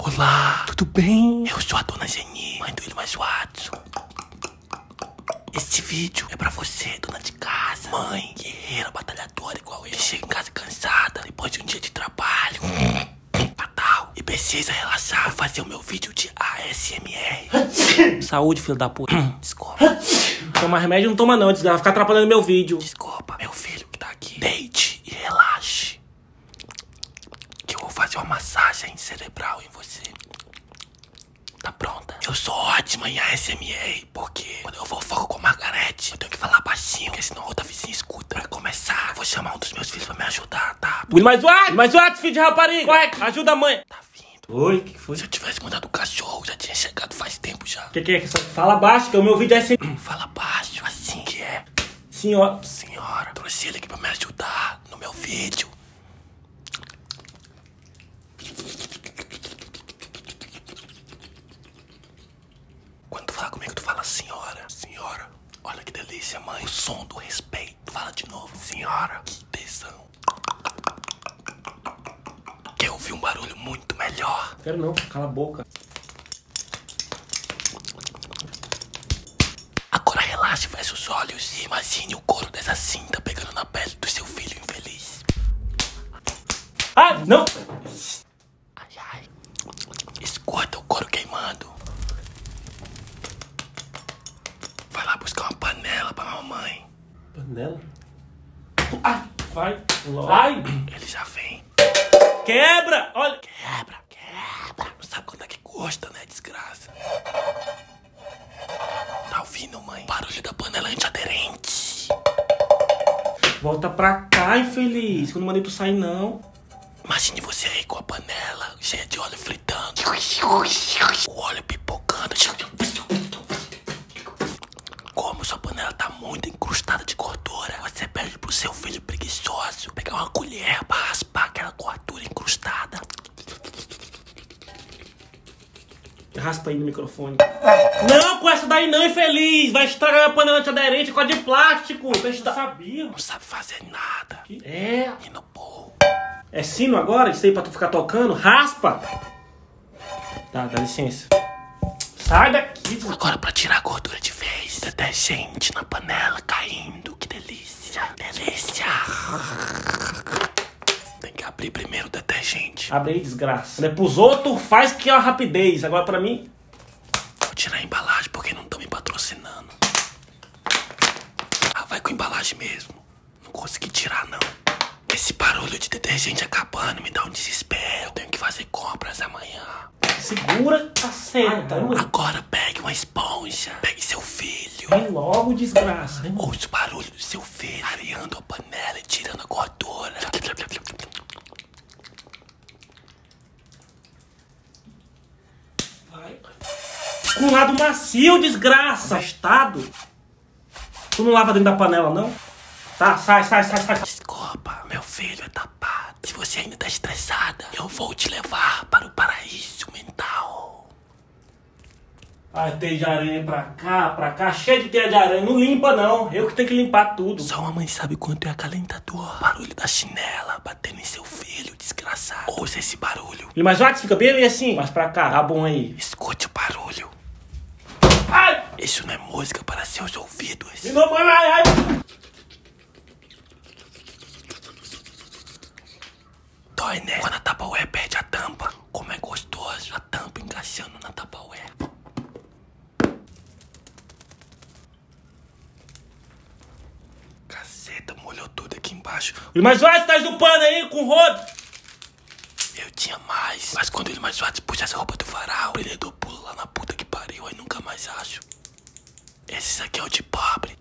Olá, tudo bem? Eu sou a Dona Geni, mãe do Ilma Watson. Este vídeo é pra você, dona de casa, mãe, guerreira, batalhadora igual eu. Que chega em casa cansada, depois de um dia de trabalho, fatal, e precisa relaxar. Vou fazer o meu vídeo de ASMR. Saúde, filho da puta. Desculpa. Tomar remédio não toma não, desgraça. Ficar atrapalhando meu vídeo. Desculpa, meu filho que tá aqui. Deite e relaxe. Que eu vou fazer uma massagem cerebral em você. Tá pronta? Eu sou ótima em ASMR, porque quando eu vou foco com Margarete, eu tenho que falar baixinho, porque senão outra vizinha escuta. Pra começar, vou chamar um dos meus filhos pra me ajudar, tá? Will mais what? Mais what, filho de rapariga? Correto, ajuda mãe. Tá vindo. Oi, que que foi? Se eu tivesse mandado o cachorro, já tinha chegado faz tempo já. O que, é que Fala baixo, que é o meu vídeo é assim. Fala baixo, assim que é. Senhora. Senhora, trouxe ele aqui pra me ajudar no meu vídeo. Quando tu falar comigo, tu fala senhora. Senhora, olha que delícia, mãe. O som do respeito. Fala de novo. Senhora, que tesão. Quer ouvir um barulho muito melhor? Quero não, cala a boca. Agora relaxe, fecha os olhos e imagine o couro dessa cinta pegando na pele do seu filho infeliz. Ah, não! Ai, ai. Escuta o couro queimando. Vai lá buscar uma panela pra mamãe. Panela? vai, Vai! Ele já vem. Quebra! Olha! Quebra! Quebra! Não sabe quando é que gosta, né, desgraça? Tá ouvindo, mãe? Barulho da panela antiaderente. Volta pra cá, infeliz. Quando mandei tu sair, não. Imagine você aí com a panela cheia de óleo frio fritando, o óleo pipocando. Como sua panela tá muito encrustada de gordura, você pede pro seu filho preguiçoso pegar uma colher pra raspar aquela gordura encrustada. Raspa aí no microfone. Não com essa daí não, infeliz! Vai estragar a panela antiaderente com a de plástico! Você sabia. Não sabe fazer nada. É. É sino agora? Isso aí pra tu ficar tocando? Raspa! Tá, dá licença. Sai daqui! Agora pra tirar a gordura de vez. Detergente na panela caindo. Que delícia! Delícia! Tem que abrir primeiro o detergente. Abre aí, desgraça. Não é pros outros, faz que é a rapidez. Agora pra mim... Vou tirar a embalagem porque não estão me patrocinando. Ah, vai com embalagem mesmo. Não consegui tirar, não. Esse barulho de detergente acabando me dá um desespero. tenho que fazer compras amanhã. Segura, caceta. Ah, tá. Agora pegue uma esponja. Pegue seu filho. Vem é logo, desgraça. Ouça o barulho do seu filho areando a panela e tirando a gordura. Com um lado macio, desgraça, estado. Tu não lava dentro da panela, não? Tá, sai, sai, sai, sai. Desculpa, meu filho é tapado. Se você ainda tá estressada, eu vou te levar para o paraíso mental. Ah, teia de aranha pra cá, pra cá, cheio de teia de aranha. Não limpa, não. Eu que tenho que limpar tudo. Só uma mãe sabe quanto é acalentador. Barulho da chinela batendo em seu filho, desgraçado. Ouça esse barulho. Ele mais alto, fica bem e assim. Mais pra cá, tá bom aí. Escute o barulho. Ai! Isso não é música para seus ouvidos. Me não, mano, ai, ai. Dói, né? Quando a tapaué perde a tampa, como é gostoso a tampa encaixando na tapaué. Caceta, molhou tudo aqui embaixo. Mas vai, você tá chupando aí com o rodo. Eu tinha mais. Mas quando ele mais faz puxa essa roupa do varal, ele deu pulo lá na puta que pariu, aí nunca mais acho. Esse aqui é o de pobre.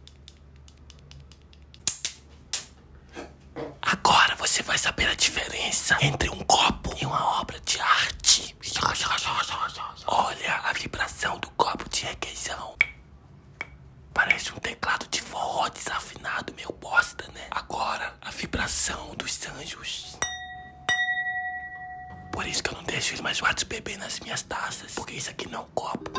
Agora você vai saber a diferença entre um copo e uma obra de arte. Olha a vibração do copo de requeijão. Parece um teclado de forró desafinado, meu bosta, né? Agora, a vibração dos anjos. Por isso que eu não deixo eles mais gatos beber nas minhas taças. Porque isso aqui não é um copo.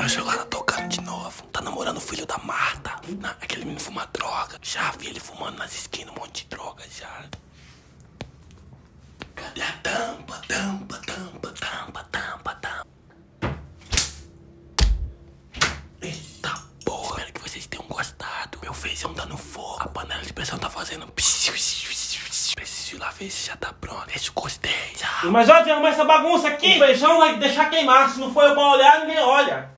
que celular tá tocando de novo. Tá namorando o filho da Marta. Na, aquele menino fuma droga. Já vi ele fumando nas esquinas um monte de droga. Cadê a tampa, tampa, tampa, tampa, tampa, tampa? Eita porra. Espero que vocês tenham gostado. Meu feijão tá no fogo. A panela de pressão tá fazendo... Preciso ir lá ver se já tá pronto. Deixa o gostei. Tchau. Mas olha, arrumar essa bagunça aqui. feijão vai deixar queimar. Se não for eu pra olhar, ninguém olha.